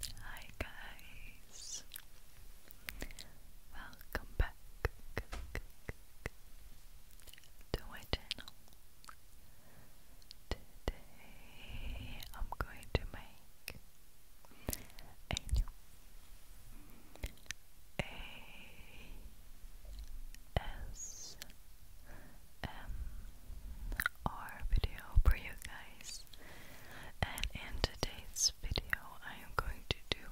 Hi guys, welcome back to my channel. Today I'm going to make ASMR video for you guys. And in today's video, I am going to do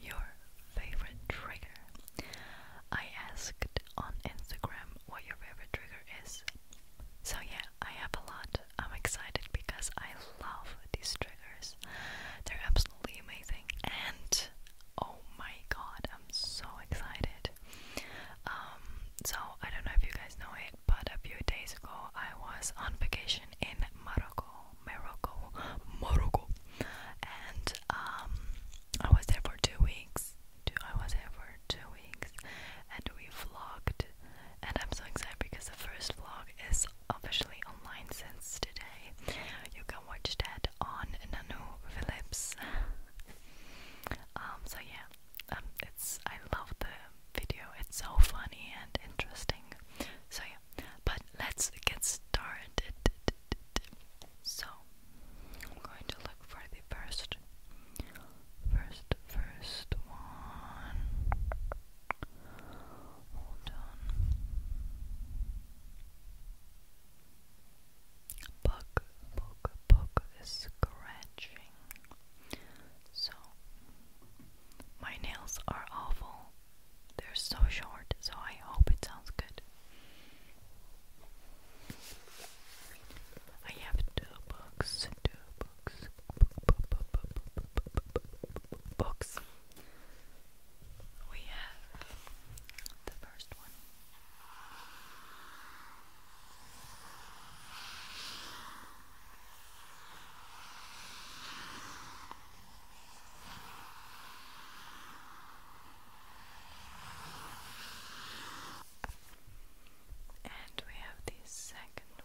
your favorite trigger. I asked on Instagram what your favorite trigger is. So, yeah, I have a lot. I'm excited because I love these triggers, they're absolutely amazing. And oh my god, I'm so excited. Um, so, I don't know if you guys know it, but a few days ago, I was on vacation in Morocco, Morocco, Morocco, and um, I was there for two weeks. I was there for two weeks, and we vlogged. And I'm so excited because the first vlog is officially online since today. You can watch that on Nanu Phillips. Um, so yeah, um, it's I love the video. It's so funny and interesting. So yeah, but let's get started. So I'm going to look for the first, first, first one. Hold on. Book, book, book scratching. So, my nails are awful. They're so short, so I hope it sounds good. I have two books, two books, books. We have the first one. And we have the second one.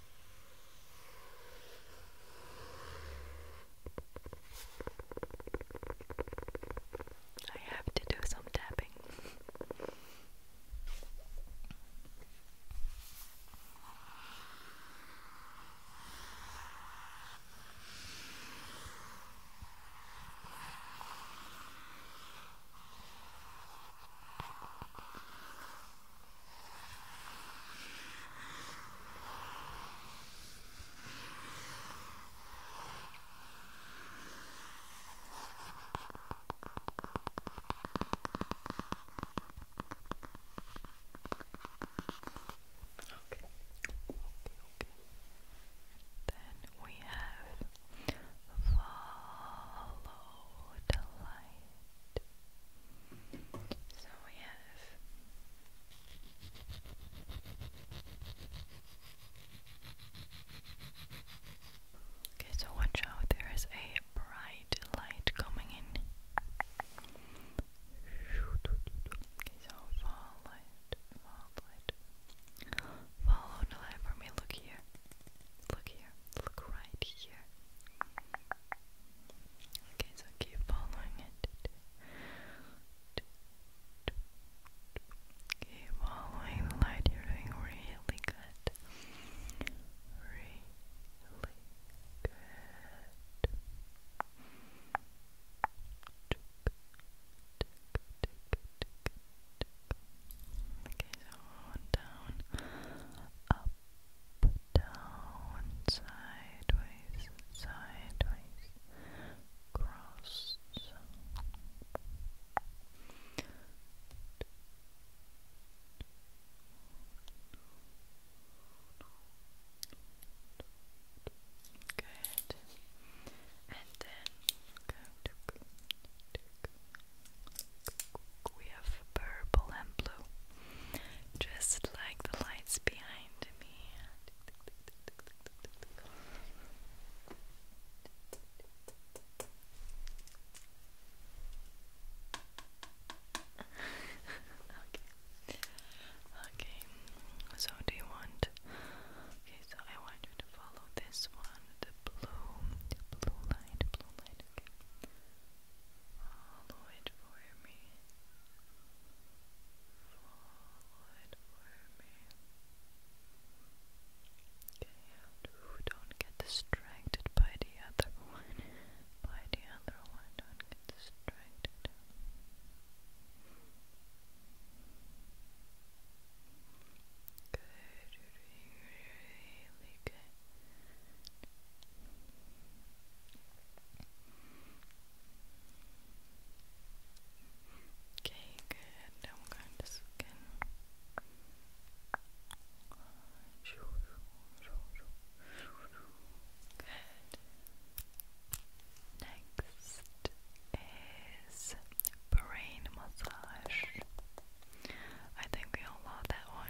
I have to do some tapping. Okay. Okay. Then we have follow the light. So we have Okay, so watch out, there is a bright light coming in. Okay, so fall light, Follow the light for me, look here. Look here, look right here. Okay, so keep following it. Keep following the light. You're doing really good. Really good. Okay, so down, up, down, sideways, sideways, cross. Good. And then we have purple and blue just like the lights behind me. okay. Okay. So do you want Okay, so I want you to follow this one, the blue, the blue light, blue light, okay. Follow it for me. Follow it for me. Okay, don't get distracted by the other one. By the other one, don't get distracted. Good, really good. Okay, good. I'm going to scan. Good. Next is brain massage. I think we all love that that one.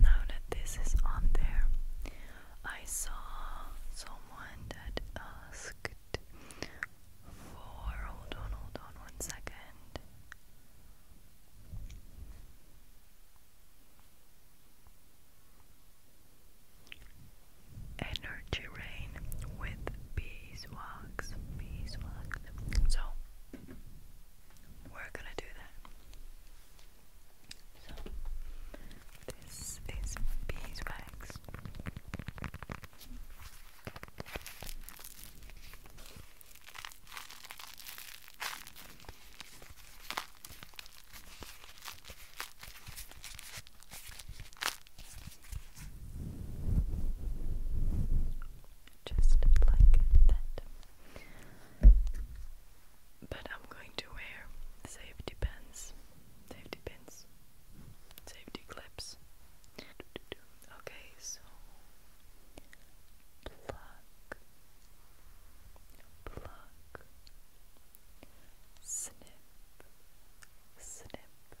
Now that this is on there, I saw someone that asked for. Hold on, hold on one second. Energy rain with bees beeswax, beeswax. So we're gonna do that. So this is beeswax. Just like that. But I'm going to wear safety pins, safety pins, safety clips. Okay, so pluck, pluck, snip. Snip,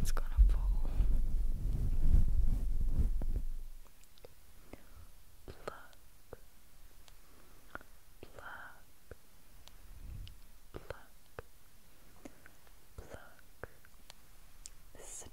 It's gonna fall. Pluck, pluck, pluck, pluck, snip,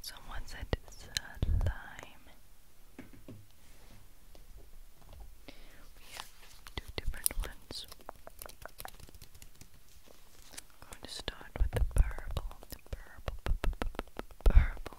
Someone said it's a two different ones. going to start with the purple, the purple, purple.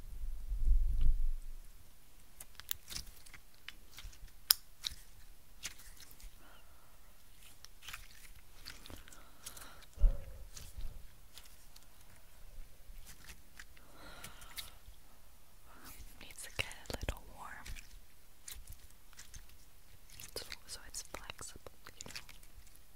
Needs to get a little warm. So, it's flexible, you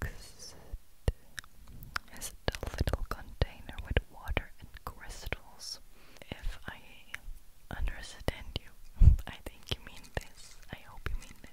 Next is the little container with water and crystals. If I understand you, I think you mean this. I hope you mean this.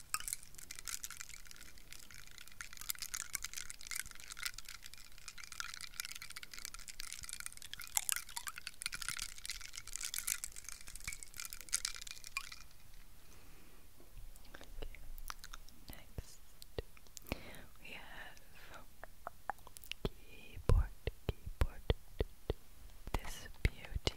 Next, we have keyboard, keyboard. This beauty.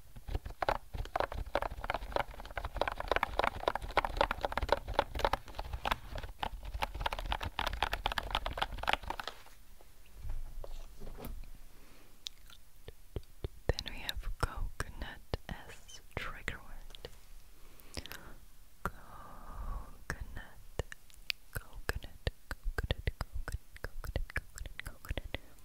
Then we have coconut as trigger word. Coconut, coconut, coconut, coconut, coconut, coconut, coconut.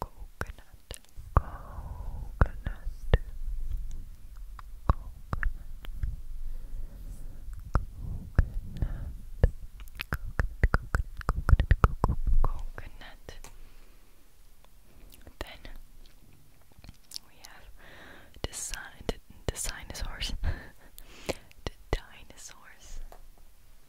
coconut, coconut, coconut, coconut, coconut, Then we have the sign, the dinosaurs, the dinosaurs.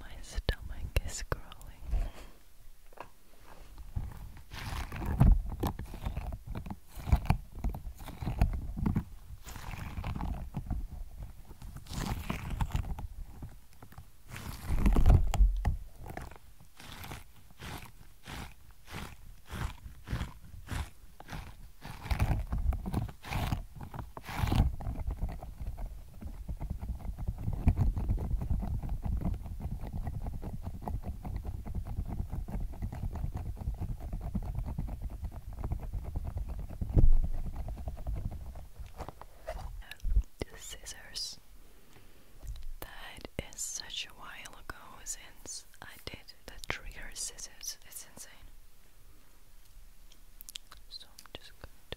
My stomach is growling. The scissors. That is such a while ago since yes, I did. The trigger scissors, it's insane. So I'm just going to.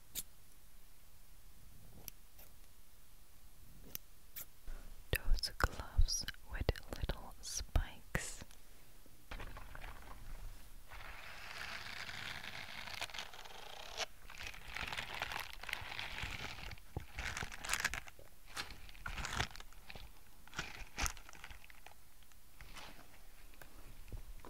Those gloves with little spikes.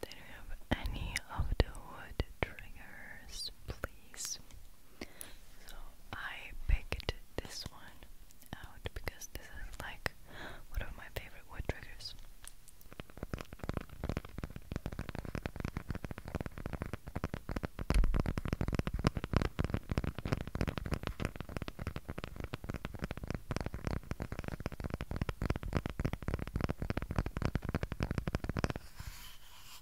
They don't have any of the wood triggers, please. So I picked this one out because this is like one of my favorite wood triggers.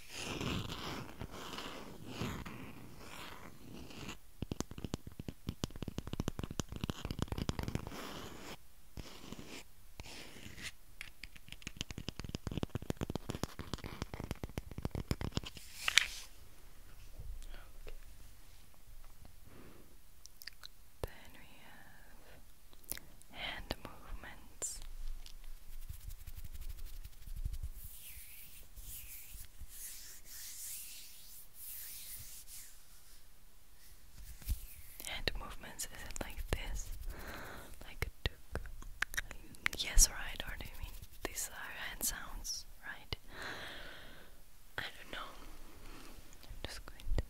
Then we have hand movements. Hand movements, is it like this? Like a Yes, right, or do you mean these are hand sounds, right? I don't know. I'm just going to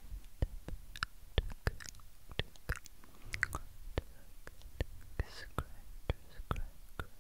duck, duck, duck, duck, duck, scratch, scratch,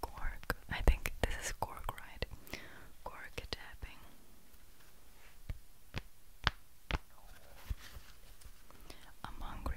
Cork. I think this is cork, right? Cork tapping. I'm hungry.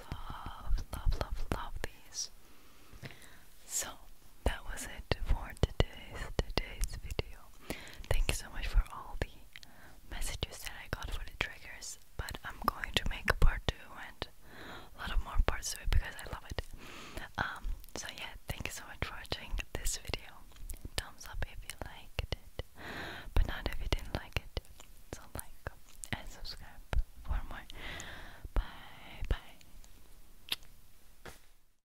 Love, love, love, love these. So that was it for today's today's video. Thank you so much for all the messages that I got for the triggers. But I'm going to make a part two and a lot of more parts to it because I love it. Um, so yeah, thank you so much for watching this video. Thumbs up if you liked it, but not if you didn't like it. So like and subscribe for more. Bye bye.